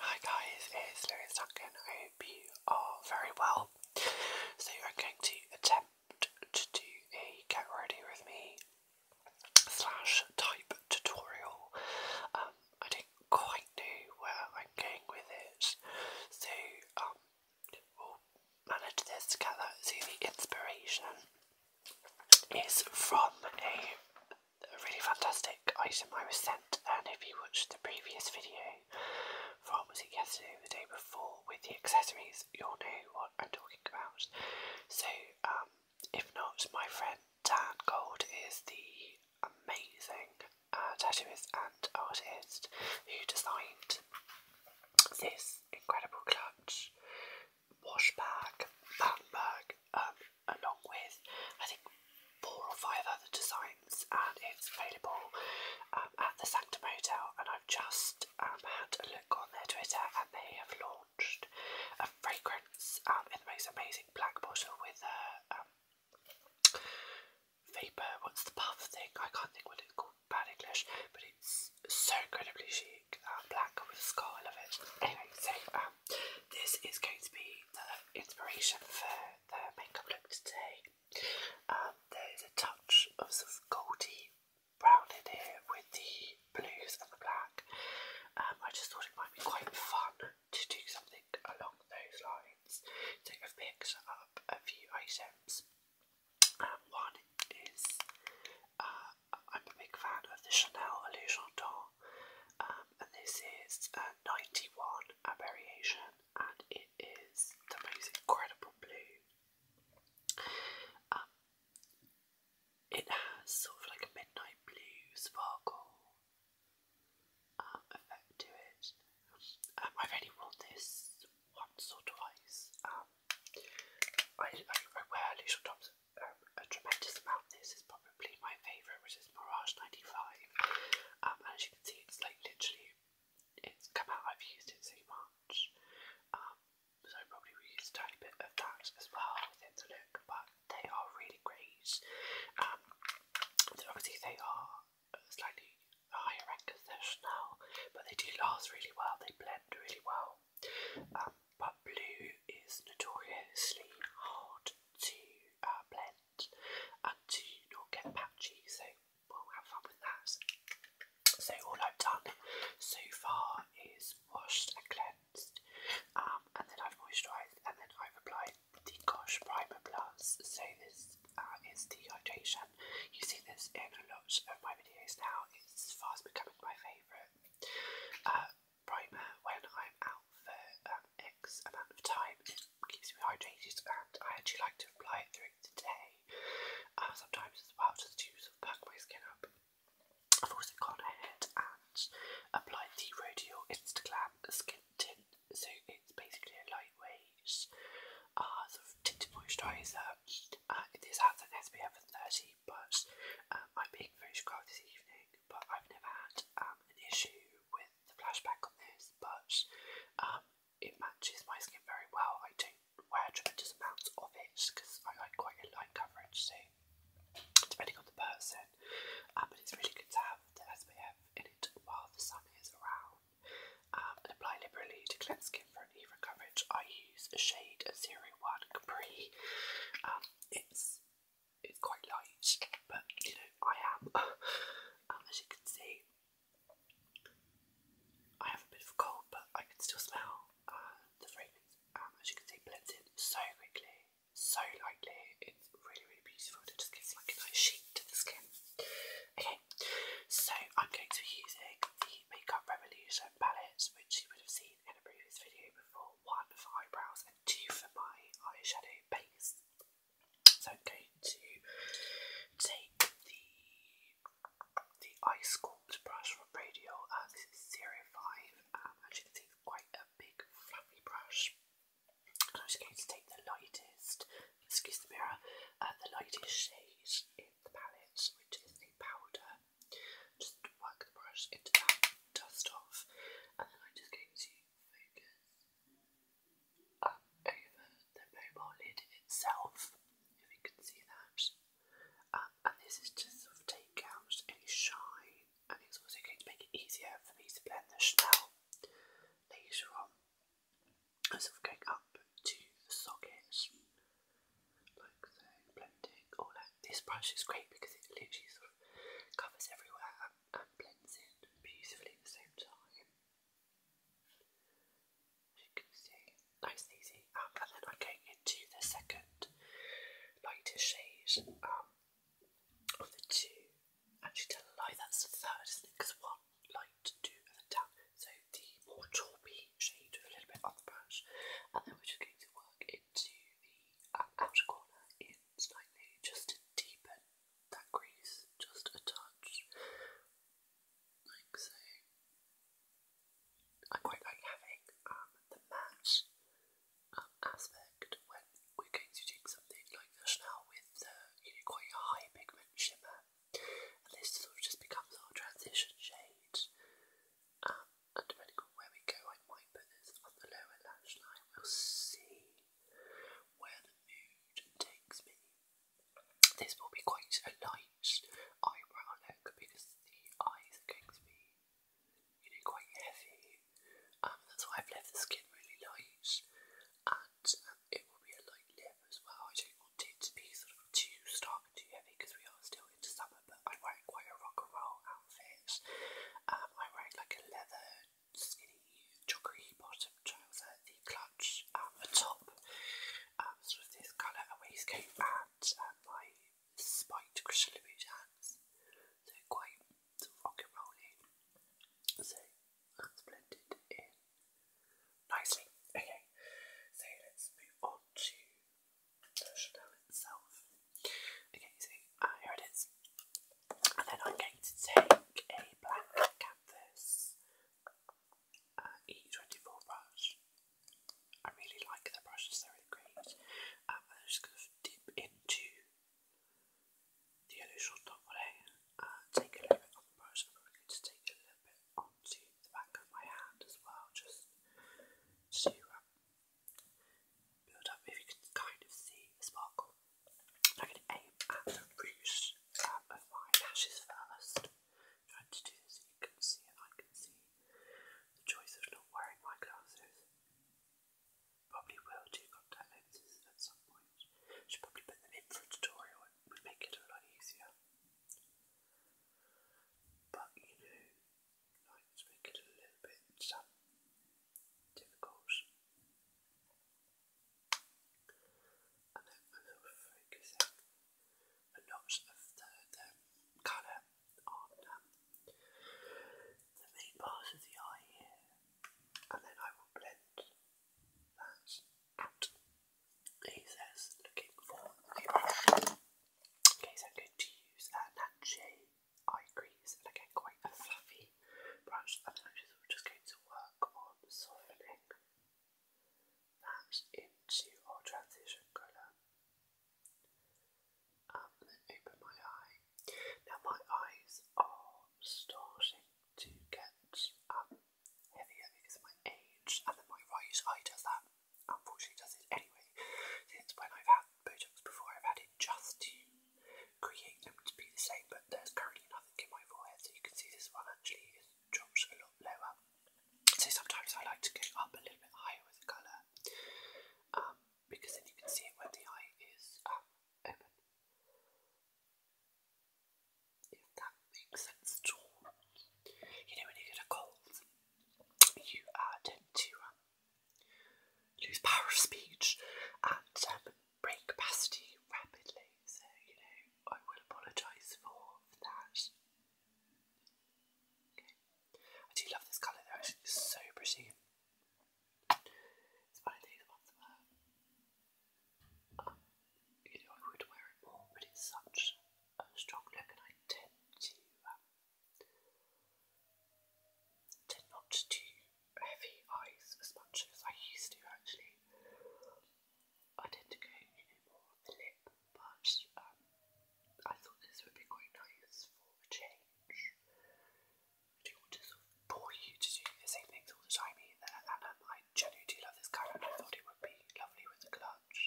Hi guys, it's Lewis Duncan. I hope you are very well. So I'm going to attempt to do a get ready with me slash type tutorial. Um, I don't quite know where I'm going with it, so um, we'll manage this together. So the inspiration is from a a really fantastic item I was sent, and if you watched the previous video from was it yesterday or the day before with the accessories, you'll know what I'm talking about. So, um, if not, my friend Dan Gold is the amazing uh, tattooist and artist who designed this incredible clutch wash bag, band bag. Um, along with I think four or five other designs and it's available um, at the Sanctum Hotel and I've just um, had a look on their Twitter and they have launched a fragrance um, in the most amazing black bottle with a um, vapour, what's the puff thing? I can't think what it's called, bad English, but it's so incredibly chic, uh, black with a scarlet of it. Anyway, so um, this is going to be the inspiration for the makeup look today. Um, there is a touch of sort of goldy brown in here with the blues and the black. Um, I just thought it might be quite fun to do something along those lines. So I've picked up a few items. Um, one is uh, I'm a big fan of the Chanel Illusion d'Or and this is a 91, variation, and it is the most incredible blue. Um, it has sort of like a midnight blue sparkle um, effect to it. Um, I've only worn this once or twice. I, wear loose tops um, a tremendous amount. This is probably my favourite, which is Mirage 95. Um, and as you can see, it's like literally, it's come out, I've used it so much. Um, so I probably will use a tiny bit of that as well within the look, but they are really great. Um, obviously, they are slightly higher end as they're Chanel, but they do last really well, they blend really well. Um, but blue is notoriously hard to uh, blend and to not get patchy, so we'll have fun with that. So all I've done so far is washed and cleansed, um, and then I've moisturised, and then I've applied the Gosh Primer Plus. So this uh, is the hydration. You see this in a lot of my videos now. It's fast becoming my favourite. Uh, primer when I'm out for um, X amount of time. It keeps me hydrated, and I actually like to apply it during the day uh, sometimes as well, just to sort of pack my skin up. I've also gone ahead and applied the Rodial Instaglam Skin Tint, so it's basically a lightweight uh, sort of tinted moisturiser. Uh, this has an SPF of 30, but um, I'm being very subscribed this evening. But I've never had um, an issue with the flashback on this, but um, it matches my skin very well. I don't wear tremendous amounts of it because I like quite a light coverage, so depending on the person. but it's really good to have the SPF in it while the sun is around. Um, and apply liberally to cleanse skin for an even coverage. I use a shade 01 Capri it's it's quite light, but you know I am. um, as you can see, I have a bit of cold, but I can still smell uh, the fragrance. Um, as you can see, blends in so quickly, so lightly. It's really, really beautiful. It just gives like a nice sheen to the skin. Okay, so I'm going to be using the Makeup Revolution palettes, which you would have seen in a previous video before. One for eyebrows and two for my eyeshadow base. So I'm going to take the the ice sculpt brush from Radio and uh, this is zero five. Um, as you can see, quite a big fluffy brush. And I'm just going to take the lightest, excuse the mirror, uh, the lightest shade in the palette, which is the powder just work the brush into that dust off, and then I'm just going to focus over the mobile lid itself, if you can see that. Um, and this is just sort take out any shine, and it's also going to make it easier for me to blend the Chanel later on. I'm sort of going up to the socket like blending, or oh, like this brush is great because it literally sort of covers everywhere and, blends in beautifully at the same time. As you can see, nice easy. Um, and then I'm going into the second lighter shade um, of the two. Actually, tell a lie, that's the 3rd Because one light, two, and then down. So the more tawny shade a little bit on the brush, and then we're just going to work into the uh, outer corner in slightly just to deepen that crease just a touch, like so. I quite like having um, the matte um, aspect when we're going to do something like this with quite a high pigment shimmer, and this sort of just becomes our transition shade. Um, depending on where we go, I might put this on the lower lash line. We'll see where the mood takes me. This will be quite a light eyebrow look because the eyes are going you know, quite heavy. Um, that's why I've left the skin really light, and um, it will be a light lip as well. I do want to be sort of too stark and too heavy because we are still into summer, but I'm wearing quite a rock and roll outfit. Um, I'm wearing like a leather, skinny, joggery bottom trouser, the clutch, um, at the top, um, sort this colour, waistcoat, and um, my spiked Christian Louboutin So quite rock and rolling. So that's blended in nicely. Okay, so let's move on to Chateau itself. Okay, so uh, here it is. And then I'm going to take a black canvas uh, E24 brush. I really like the brushes, they're really great. Um, and I'm just going to dip into the yellow short top today. Uh, take a little bit on the brush, I'm probably going to take a little bit onto the back of my hand as well, just um, build up. If you can kind of see the sparkle, I'm going to aim at the rouge um, of my lashes 1st trying to do this so you can see and I can see the choice of not wearing my glasses. Probably will do contact lenses at some point. Should probably put them in for a tutorial. It would make it a lot easier. But you know, nights make it a little bit difficult. And then a little focusing a lot of the, the colour on um, the main part of the eye here. And then I will blend that out. He says, looking for the brush. Okay, so i to use a Natchez eye crease, and again, quite a fluffy brush. And I'm just going to work on softening that into our transition colour. Um, open my eye. Now, my eyes are starting to get um, heavier because of my age and then my right eye does that, unfortunately does it anyway, since when I've had Botox before I've had it just to create them to be the same but there's currently nothing in my forehead so you can see this one actually is drops a lot lower. So sometimes I like to go up a little bit higher with the colour um, because then you can see it when the eye is um, open if that makes sense at all. You know, when you get a cold, you uh, tend to um, lose power of speech and um, brain capacity rapidly. So, you know, I will apologise for that. Okay. I do love this colour though, it's so pretty you know, I would wear it more, but it's such a strong look, and I tend to um, not do heavy eyes as much as I used to. Actually, I tend to go you more lip, but um, I thought this would be quite nice for a change. I do want to sort of bore you to do the same things all the time wine. love this colour? I thought it would be lovely with a clutch.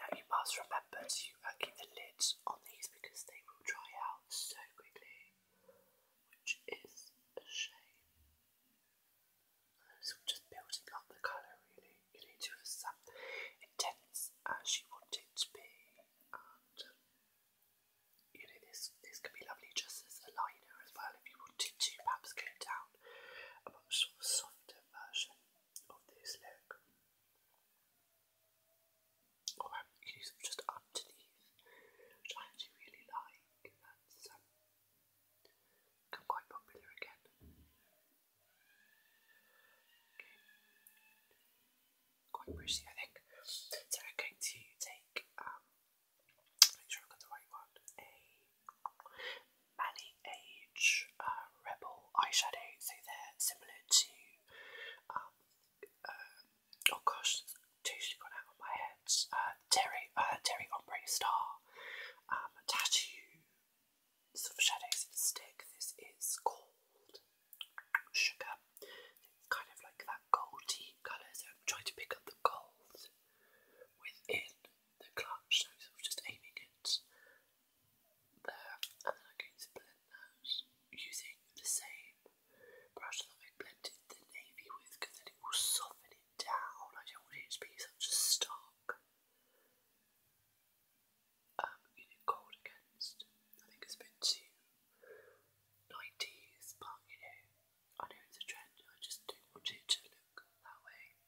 Now you must remember to uh, keep the lids on these because they will dry out so quickly, which is a shame. So just building up the colour really. You to as intense as uh, you want it to be you know, this this could be lovely just as a liner as well if you wanted to perhaps go down a much softer version of this look. Or use just up which I actually really like. That's um, become quite popular again. Okay. Quite pretty, I think. So I'm going to take um, make Age uh, Rebel eyeshadow, so they're similar to, um, uh, oh gosh, it's totally gone out of my head, uh, Terry, Terry Ombre Star, um, tattoo sort of shadows stick, this is called Sugar, kind of like that goldy colour, so I'm trying to pick up the gold within the clutch, so I'm just aiming it there, and then I'm going to blend that using the same brush that I blended the navy with, because then it will soften it down, I don't want it to be such a stark um, gold against, I think it's a bit too 90s, but you know, I know it's a trend, I just don't want it to look that way.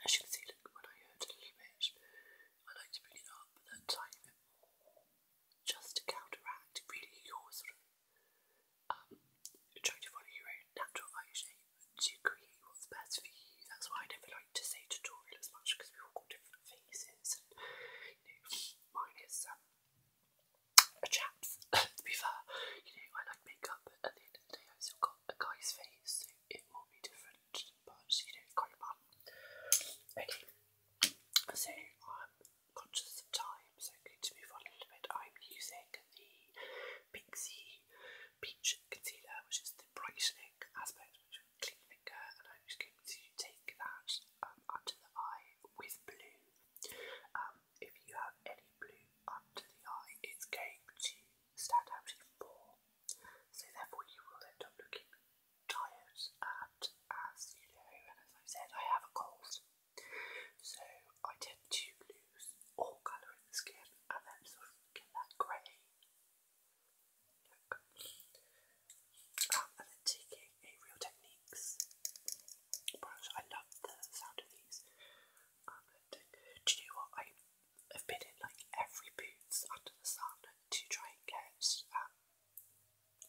as you can see, look, when I hurt a little bit, I like to bring it up that tiny bit more, just to counteract really your sort of um, trying to follow your own natural eye shape to create what's best for you. That's why I never like to say tutorial as much because we all got different faces. And, you know, mine is um, chaps, to be fair. You know, I like makeup, but at the end of the day, I've still got a guy's face, so it will be different, but you know, quite fun. Okay, so I'm conscious of time, so I'm going to move on a little bit. I'm using the Pixie Peach Concealer, which is the brightening aspect, which is clean finger, and I'm just going to take that um, the eye with blue. Um, if you have any blue up the eye, it's going to stand out even more. So therefore, you will end up looking tired, and as you know, and as I said, I have a cold, so I tend to lose all colour in the skin, and then sort of get that grey look and then taking a Real Techniques brush. I love the sound of these. Um, do you know what? I have been in like every Boots under the sun to try and get um,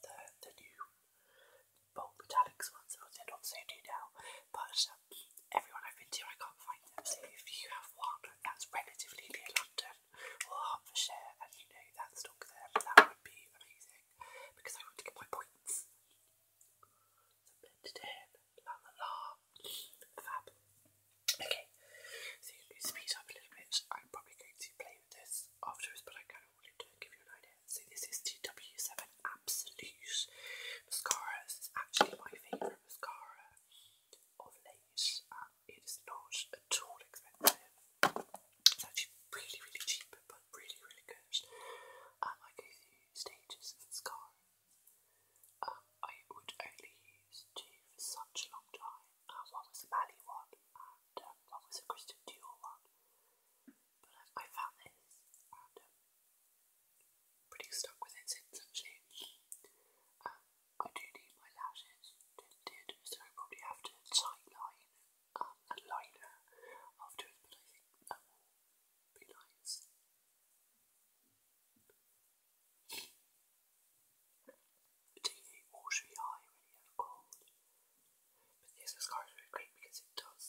the, the new bold metallics ones. that They're not so do now, but um, everyone I've been to, I can't find them. So if you have one that's relatively near them. Lincoln or Hertfordshire and you know that stock there, that would be amazing because I would get my points. So blended in, fab. Okay, so you can up a little bit. I'm probably going to play with this afterwards, but I kind of wanted to give you an idea. So this is TW7 Absolute Mascara. This is actually my favourite mascara of late. Um, it is not at all expensive. It's actually really, really cheap, but really, really good. Um, I go through stages of scarring. Um, I would only use two for such a long time. Um, one was a Mally one, and um, one was a Christian Dior one. But um, I found this, and um, pretty stuck with it since actually. Um, I do need my lashes did, so I probably have to sightline um, a liner afterwards, but I think that will be nice. TV watery eye when you have cold, but this mascara is great because it does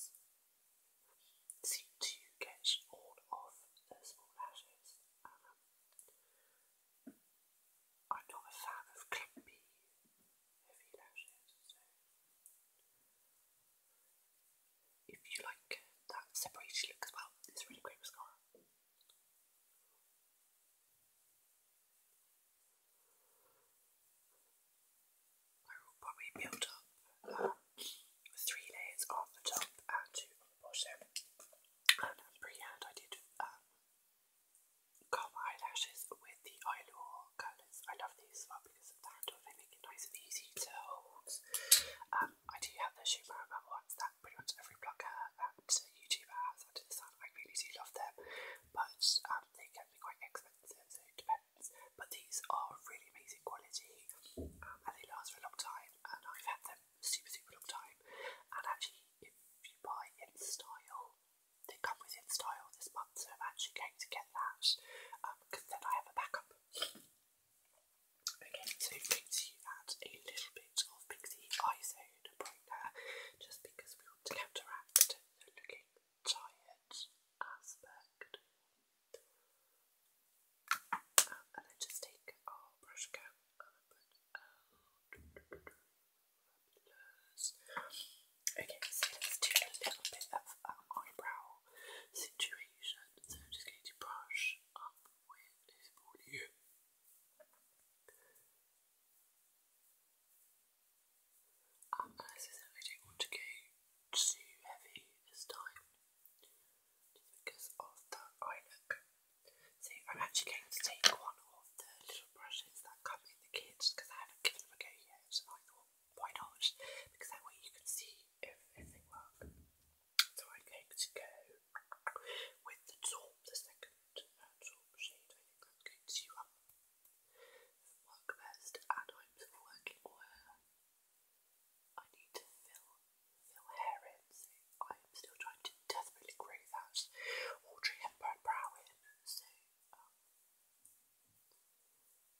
seem to get all of the small lashes. Um, I'm not a fan of clumpy, heavy lashes, so if you like uh, that separated look as well, it's really great mascara. I will probably build up uh, three layers on the top and two on the bottom. And a I did uh, comb eyelashes with the Oiluor colours. I love these as well because of the handle, they make it nice and easy to hold. Um, I do have the Shumarama ones that pretty much every blogger and YouTuber has under the sun. I really do love them, but um, they can be quite expensive, so it depends. But these are really amazing quality um, and they last for a long time, and I've had them super, super long time. And actually, if you buy in style, they come with in style this month, so I'm actually going to get that because um, then I have a backup. Okay, so Pixie add a little bit of Pixie Izone brightener just because we want to counteract the looking tired aspect. Um, and then just take our brush again Okay, so let's do a little bit of um, eyebrow situation. So I'm just going to brush up with this volume. I said, I don't want to go too heavy this time, just because of that eye look. So I'm actually going to take one of the little brushes that come in the kit because I haven't given them a go yet. So I thought, why not? Because that way you can see if, if works. So I'm going to go with the top, the second uh, top shade. I think that's going to um, work best. And I'm working where I need to fill You'll hear I'm still trying to desperately grow that Audrey Hepburn brow in. So, um,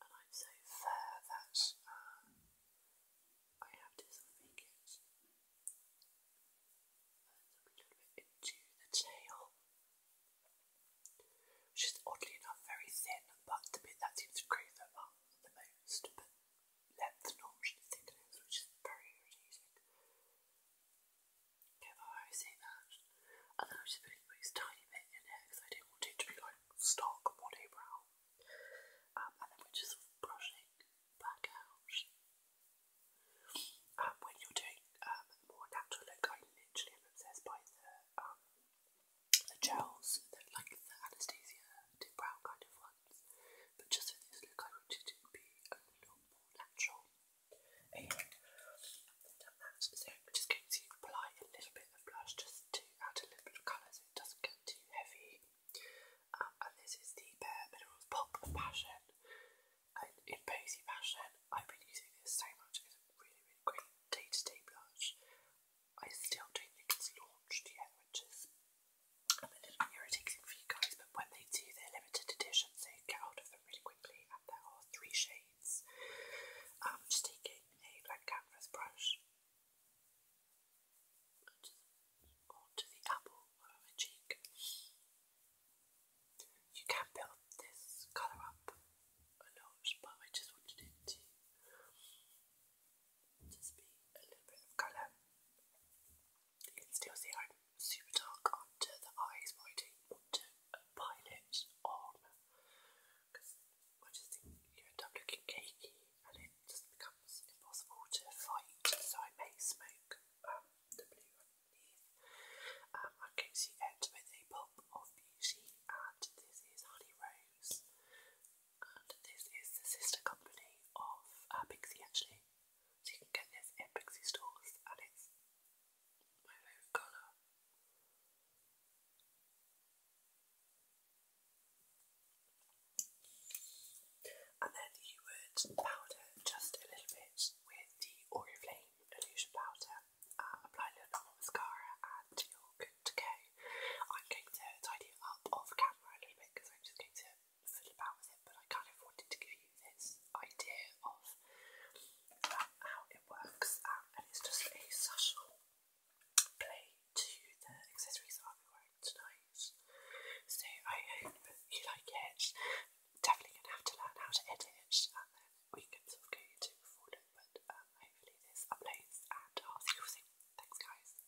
and I'm so fair that uh, I have to uh, sort of a little bit into the tail, which is oddly enough very thin, but the bit that seems to grow uh, the most length normally than it is, which is very irritating. Okay, I say that, and then I'm just putting this tiny bit in here because I don't want it to be like stark mono brown. and then we're just brushing back out. Um, when you're doing um, more natural look, I literally am obsessed by the um, gels, like the Anastasia dip brown kind of one times, but just for this look I wanted it to be a little more natural. So I'm just going to apply a little bit of blush just to add a little bit of colour so it doesn't get too heavy. Um, and this is the Bare Minerals Pop of Passion. in Posy Passion, I've been using this so much. It's a really, really great day-to-day blush. I still think it's launched yet, which is I'm a little irritating for you guys, but when they do their limited editions, they get hold of them really quickly, and there are three shades. I'm um, just taking a black canvas brush onto the apple of my cheek. You can build this colour up a lot, but I just wanted it to just be a little bit of colour. You can still see I'm super dark under the eyes, but I don't want on because I just think you end up looking cakey and it just becomes impossible to fight. So I may smoke um, the blue underneath. I'm going end with a pop of beauty, and this is Honey Rose and this is the sister company of uh, Pixie actually. So you can get this in Pixie stores and it's my favourite And then you would powder just a little bit with the Oriflame Illusion Powder, uh, apply a little bit more mascara and you're good to go. I'm going to tidy up off camera a little bit because I'm just going to fiddle about with it, but I kind of wanted to give you this idea of how it works, um, and it's just a social play to the accessories I'll be wearing tonight. So I hope you like it. Definitely gonna have to learn how to edit, we can sort of go into full look, but um, hopefully this uploads and I'll see you all soon. Thanks guys.